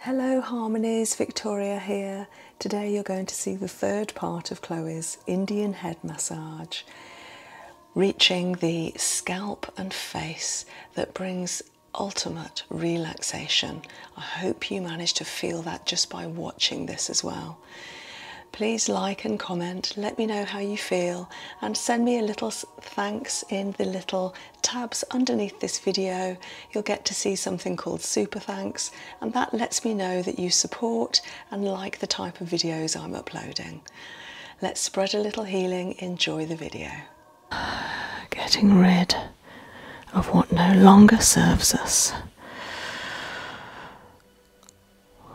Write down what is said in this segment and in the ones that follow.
Hello Harmonies, Victoria here. Today you're going to see the third part of Chloe's Indian head massage, reaching the scalp and face that brings ultimate relaxation. I hope you manage to feel that just by watching this as well. Please like and comment, let me know how you feel, and send me a little thanks in the little tabs underneath this video, you'll get to see something called Super Thanks, and that lets me know that you support and like the type of videos I'm uploading. Let's spread a little healing, enjoy the video. Getting rid of what no longer serves us.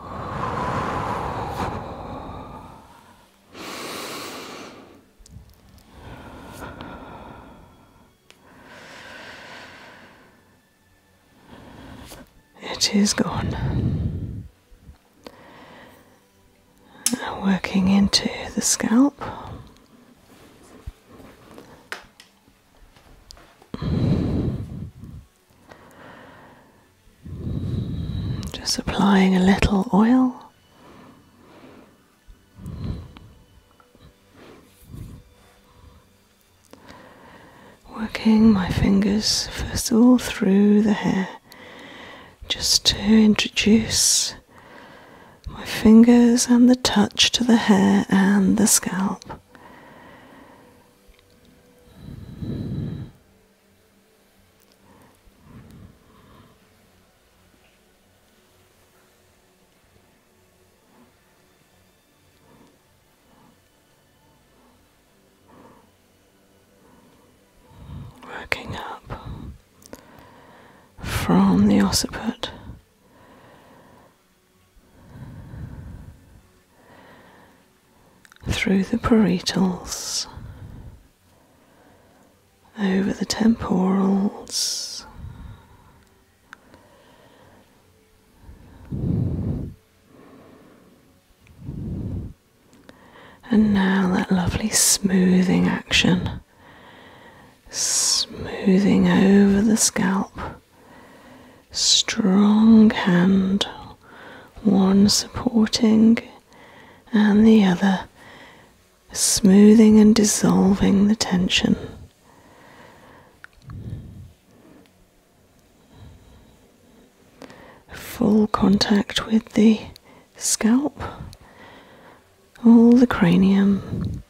It is gone. working into the scalp. Just applying a little oil Working my fingers first of all through the hair, just to introduce my fingers and the touch to the hair and the scalp. Working up from the occiput through the parietals over the temporals. And now that lovely smoothing action, smoothing over the scalp. Strong hand, one supporting and the other smoothing and dissolving the tension. Full contact with the scalp, all the cranium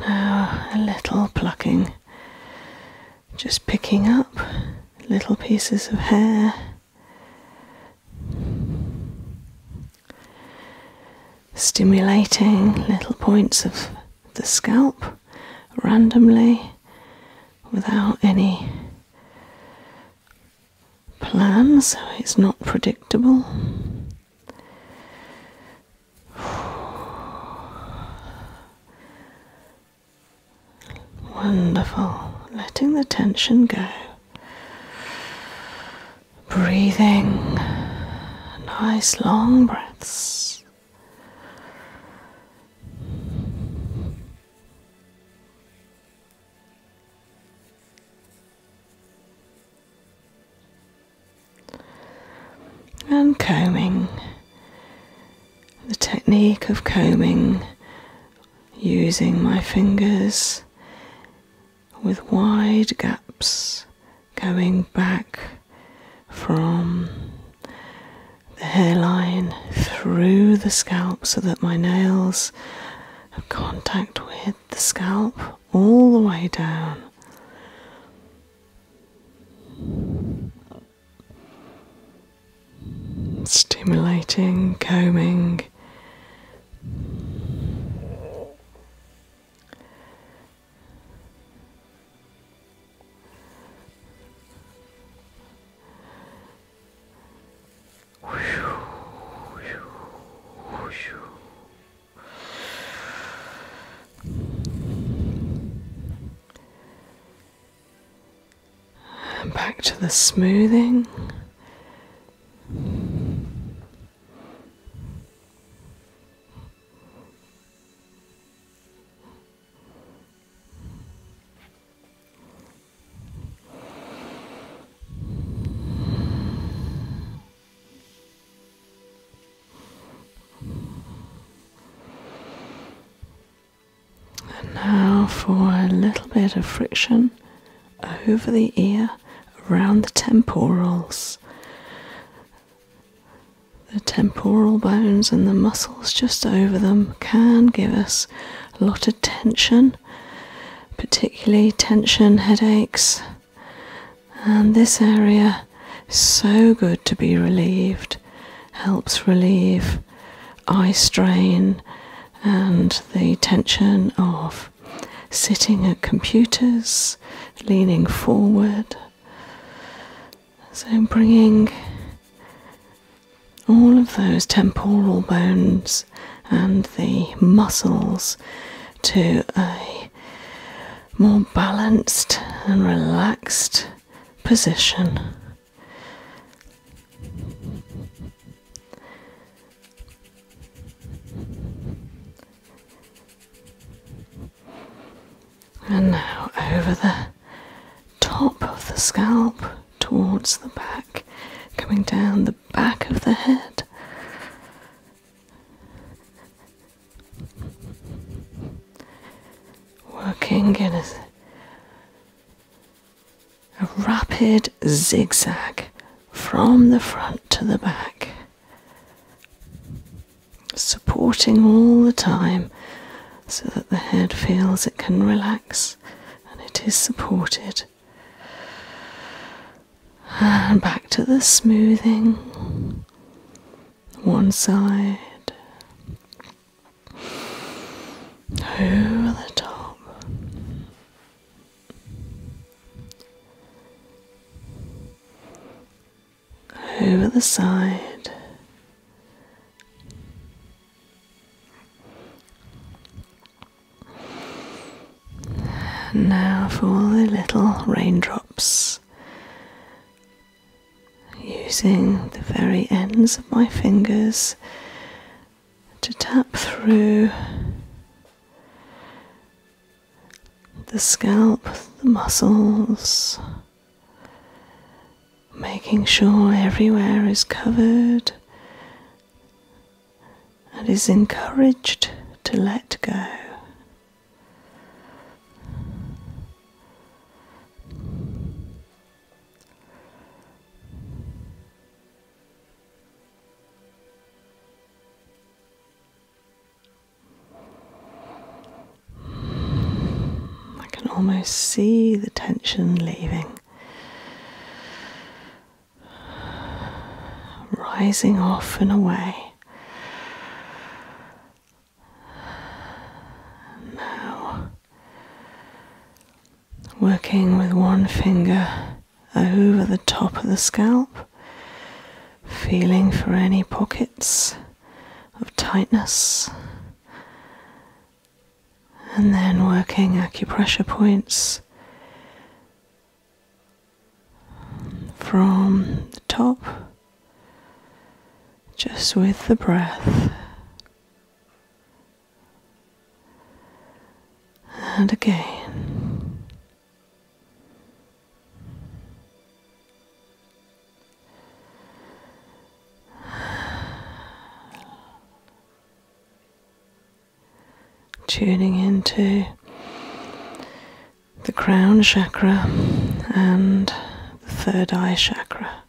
now a little plucking, just picking up little pieces of hair. Stimulating little points of the scalp randomly without any plan, so it's not predictable. Wonderful. Letting the tension go. Breathing. Nice long breaths and combing. The technique of combing using my fingers with wide gaps going back from the hairline through the scalp so that my nails have contact with the scalp all the way down. Stimulating, combing. And back to the smoothing. And now for a little bit of friction over the ear, around the temporals. The temporal bones and the muscles just over them can give us a lot of tension particularly tension, headaches, and this area is so good to be relieved, helps relieve eye strain and the tension of sitting at computers, leaning forward. So, bringing all of those temporal bones and the muscles to a more balanced and relaxed position. And now over the top of the scalp towards the back, coming down the back of the head. Working in a, rapid zigzag from the front to the back, supporting all the time so that the head feels it can relax and it is supported and back to the smoothing. One side. Over the top. Over the side. Now for the little raindrops. Using the very ends of my fingers to tap through the scalp, the muscles, making sure everywhere is covered and is encouraged to let go. I can almost see the tension leaving rising off and away. Now, working with one finger over the top of the scalp, feeling for any pockets of tightness and then working acupressure points from the top, just with the breath. And again, tuning into the crown chakra and the third eye chakra.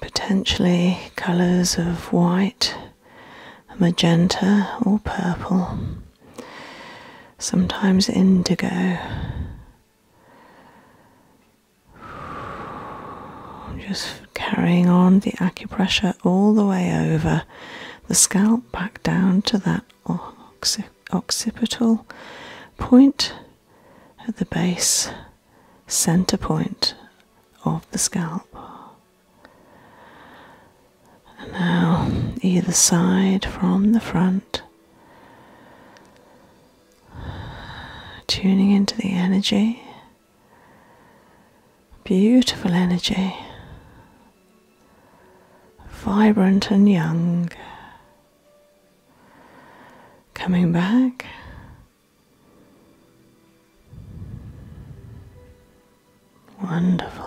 Potentially colours of white, magenta, or purple, sometimes indigo. I'm just carrying on the acupressure all the way over the scalp back down to that occipital point at the base center point of the scalp. And now either side from the front, tuning into the energy. Beautiful energy, vibrant and young, coming back. Wonderful.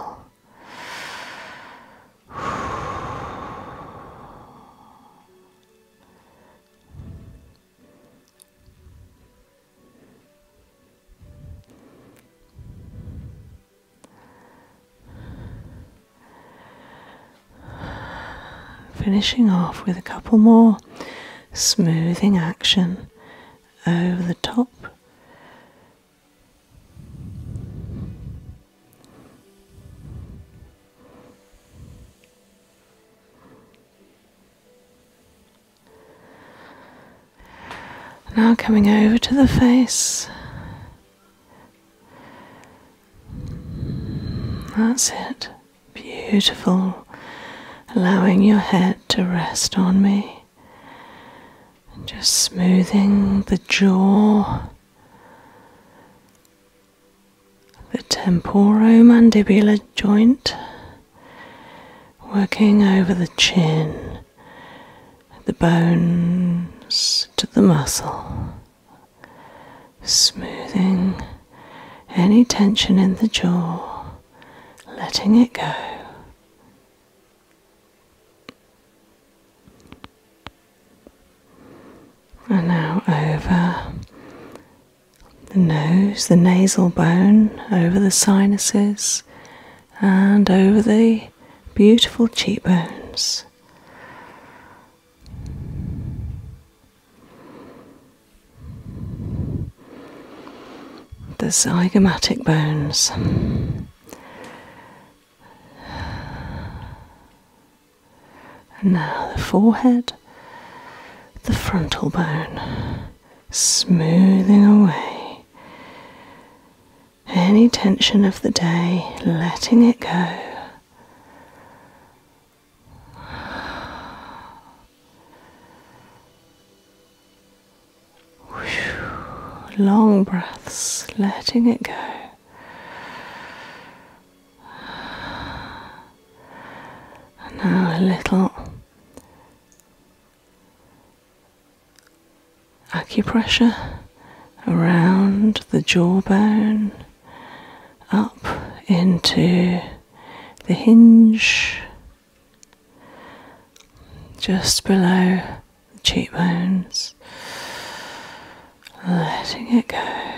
Finishing off with a couple more smoothing action over the top. Now coming over to the face. That's it. Beautiful. Allowing your head to rest on me. And just smoothing the jaw the temporomandibular joint working over the chin, the bones to the muscle, smoothing any tension in the jaw, letting it go. And now over the nose, the nasal bone, over the sinuses, and over the beautiful cheekbones. The zygomatic bones. And now the forehead, the frontal bone, smoothing away any tension of the day, letting it go. Long breaths, letting it go. And now a little acupressure around the jawbone, up into the hinge, just below the cheekbones, letting it go.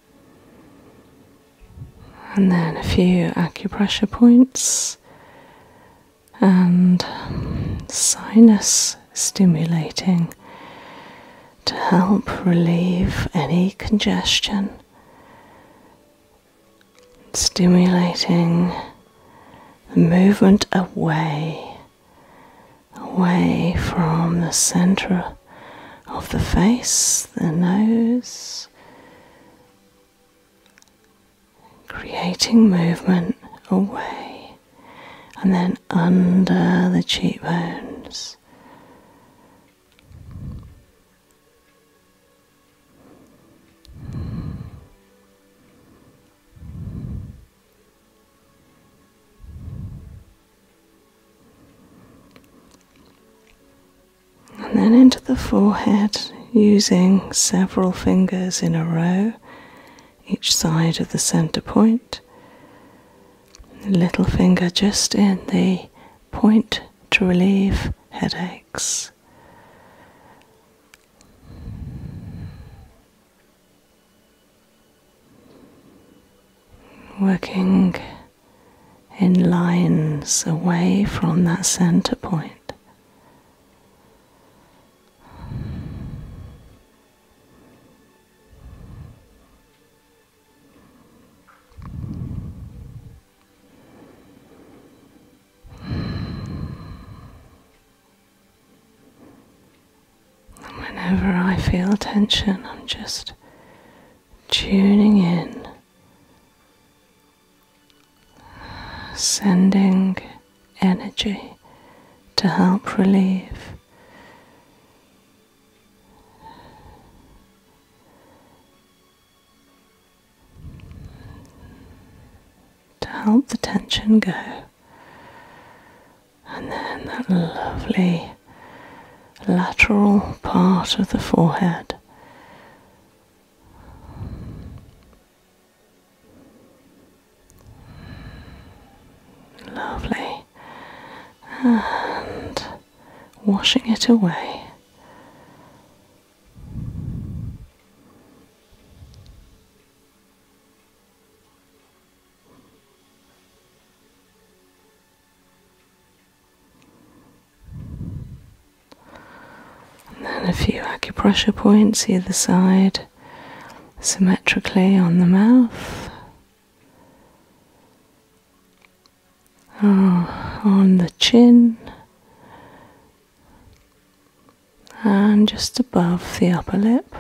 and then a few acupressure points and sinus stimulating to help relieve any congestion, stimulating movement away, away from the center of the face, the nose, creating movement away and then under the cheekbones and then into the forehead using several fingers in a row, each side of the center point. Little finger just in the point to relieve headaches. Working in lines away from that center point. whenever I feel tension, I'm just tuning in, sending energy to help relieve to help the tension go, and then that lovely lateral part of the forehead. Lovely. And washing it away. And then a few acupressure points either side, symmetrically on the mouth. Ah, on the chin and just above the upper lip,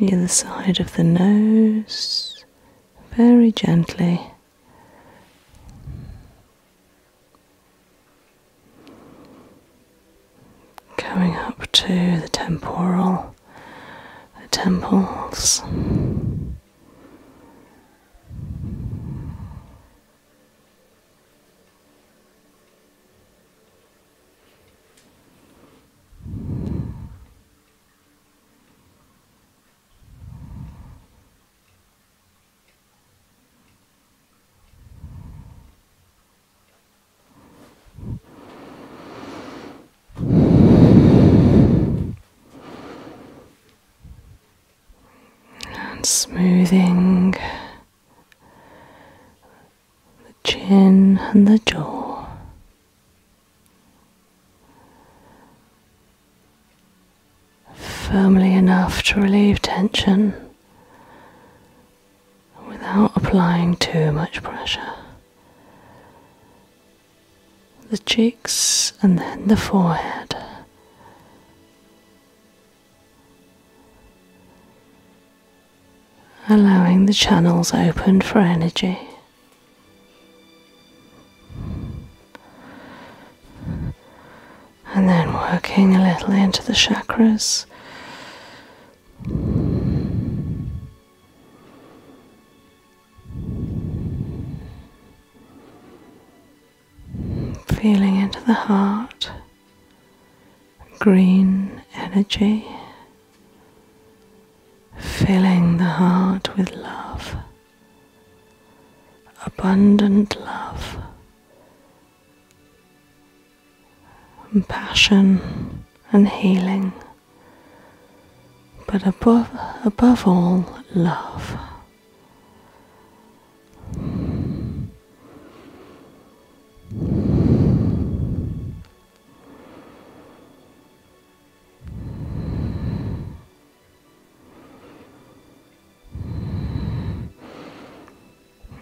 Near the side of the nose, very gently. coming up to the temporal, the temples. And smoothing the chin and the jaw. Firmly enough to relieve tension without applying too much pressure. The cheeks and then the forehead allowing the channels open for energy. And then working a little into the chakras feeling into the heart, green energy, filling the heart with love, abundant love, passion and healing, but above, above all, love.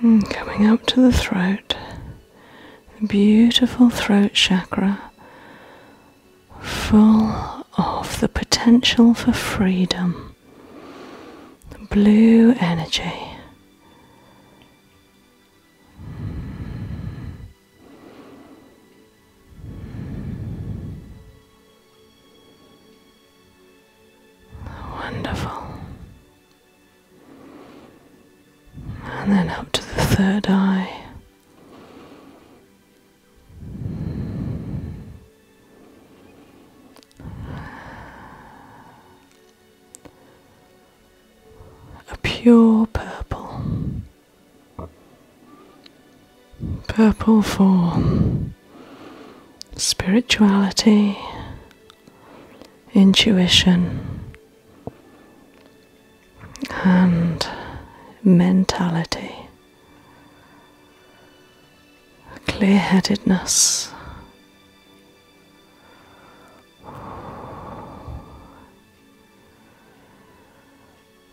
Hmm, coming up to the throat, beautiful throat chakra, full of the potential for freedom blue energy. Wonderful. And then up to the third eye a pure purple, purple for spirituality, intuition, and mentality clear headedness.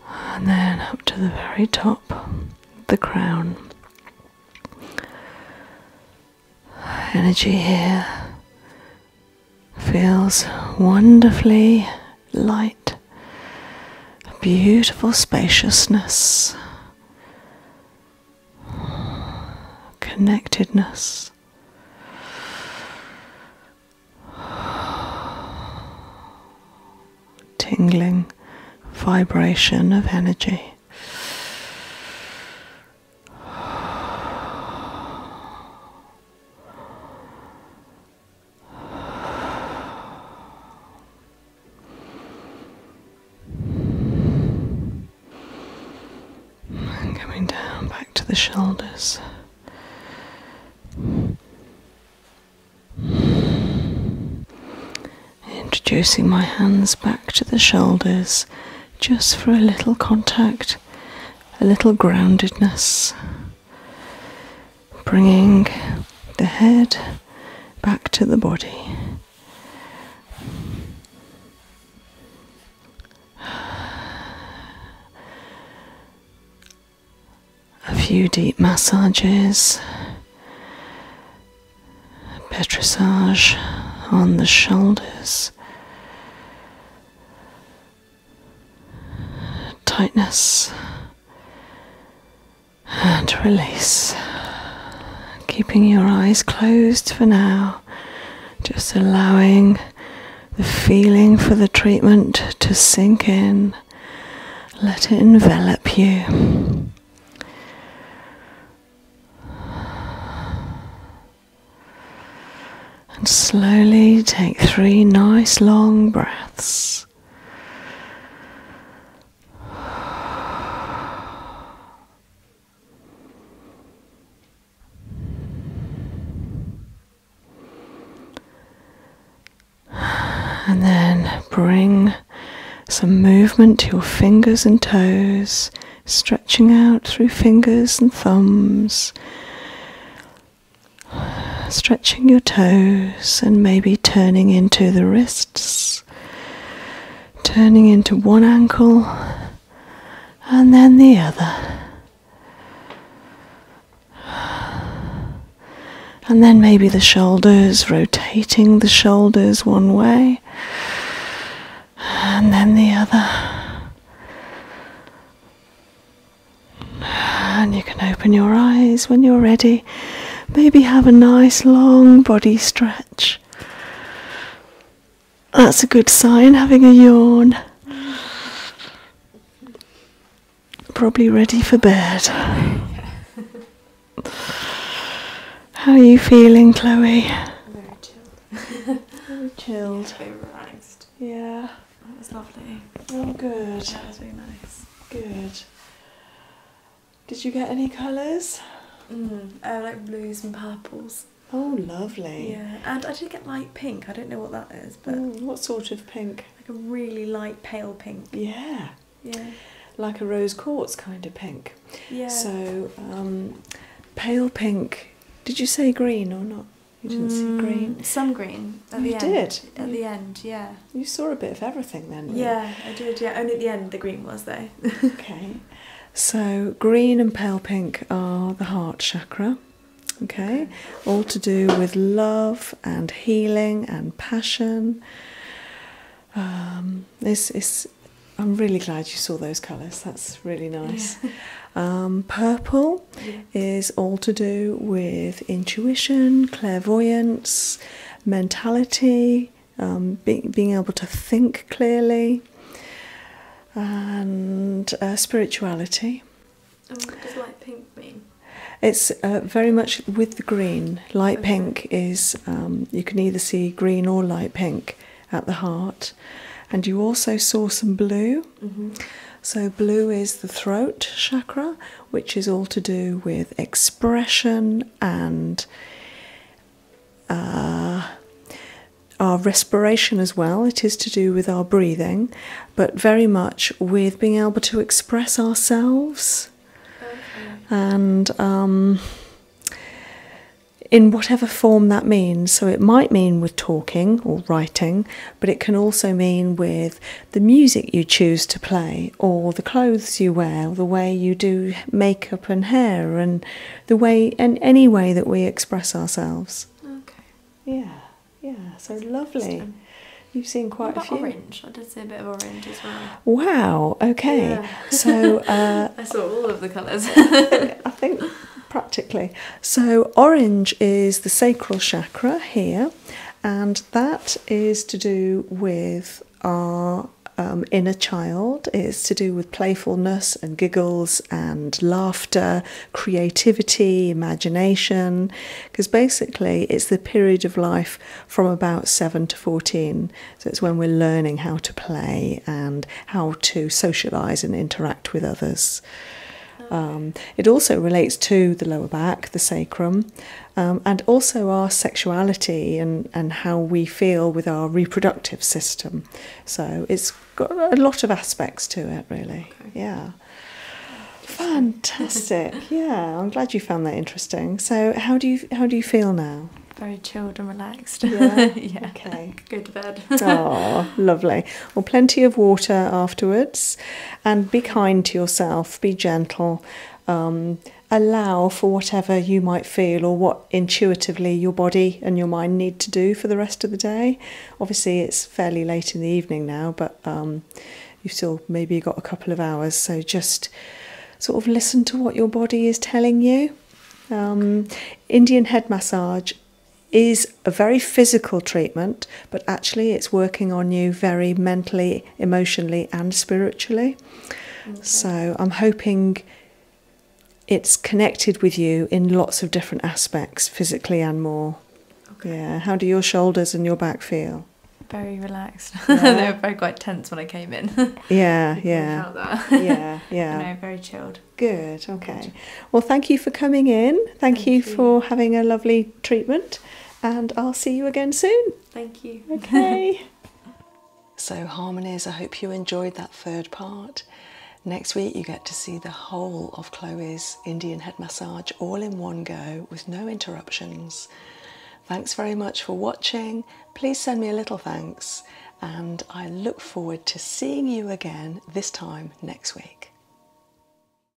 And then up to the very top, the crown. Energy here feels wonderfully light, beautiful spaciousness connectedness. Tingling vibration of energy. And coming down back to the shoulders. Introducing my hands back to the shoulders just for a little contact, a little groundedness bringing the head back to the body. A few deep massages, petrissage on the shoulders, tightness and release. Keeping your eyes closed for now, just allowing the feeling for the treatment to sink in. Let it envelop you. And slowly take three nice long breaths. And then bring some movement to your fingers and toes, stretching out through fingers and thumbs, stretching your toes, and maybe turning into the wrist turning into one ankle and then the other, and then maybe the shoulders, rotating the shoulders one way and then the other. And you can open your eyes when you're ready. Maybe have a nice long body stretch. That's a good sign, having a yawn. Probably ready for bed. How are you feeling, Chloe? Very chilled. Very chilled. Yeah, very relaxed. Yeah. That was lovely. Oh, good. That was very nice. Good. Did you get any colours? Mm, like blues and purples. Oh, lovely. Yeah, and I did get light pink. I don't know what that is, but mm, what sort of pink? Like a really light pale pink. Yeah. Yeah. Like a rose quartz kind of pink. Yeah. So um, pale pink. Did you say green or not? You didn't see mm, green. Some green. At you did. at the end, yeah. You saw a bit of everything then. Yeah, I did. Yeah, only at the end the green was though. okay, so green and pale pink are the heart chakra. Okay, all to do with love and healing and passion. Um, this is. I'm really glad you saw those colours. That's really nice. Um, purple is all to do with intuition, clairvoyance, mentality, um, being able to think clearly, and uh, spirituality. And what does light pink mean? It's uh, very much with the green. Light pink is, um, you can either see green or light pink at the heart. And you also saw some blue. Mm-hmm. So, blue is the throat chakra, which is all to do with expression and uh, our respiration as well. It is to do with our breathing, but very much with being able to express ourselves and. Um, in whatever form that means. So it might mean with talking or writing, but it can also mean with the music you choose to play, or the clothes you wear, the way you do makeup and hair, and the way and any way that we express ourselves. Okay. Yeah. Yeah. So lovely. You've seen quite a few. Orange. I did see a bit of orange as well. Wow. Okay. So uh, I saw all of the colours. I think practically. So orange is the sacral chakra here, and that is to do with our um, inner child. It's to do with playfulness and giggles and laughter, creativity, imagination, because basically it's the period of life from about 7 to 14. So it's when we're learning how to play and how to socialise and interact with others. Um, it also relates to the lower back, the sacrum, um, and also our sexuality and, and how we feel with our reproductive system. So it's got a lot of aspects to it, really. Yeah. Fantastic. yeah, I'm glad you found that interesting. So how do you how do you feel now? Very chilled and relaxed. Yeah. Okay. Go to bed. oh, lovely. Well, plenty of water afterwards, and be kind to yourself be gentle, um, allow for whatever you might feel or what intuitively your body and your mind need to do for the rest of the day. Obviously, it's fairly late in the evening now, but um, you've still maybe got a couple of hours, so just sort of listen to what your body is telling you. Um, Indian head massage is a very physical treatment, but actually it's working on you very mentally, emotionally, and spiritually. So I'm hoping it's connected with you in lots of different aspects, physically and more. Yeah. How do your shoulders and your back feel? Very relaxed. they were quite tense when I came in. yeah, yeah. felt that. yeah, yeah. very chilled. Good. Okay. Well, thank you for coming in. Thank, you, for having a lovely treatment and I'll see you again soon. Thank you. Okay. so, Harmonies, I hope you enjoyed that third part. Next week, you get to see the whole of Chloe's Indian head massage all in one go with no interruptions. Thanks very much for watching. Please send me a little thanks, and I look forward to seeing you again this time next week.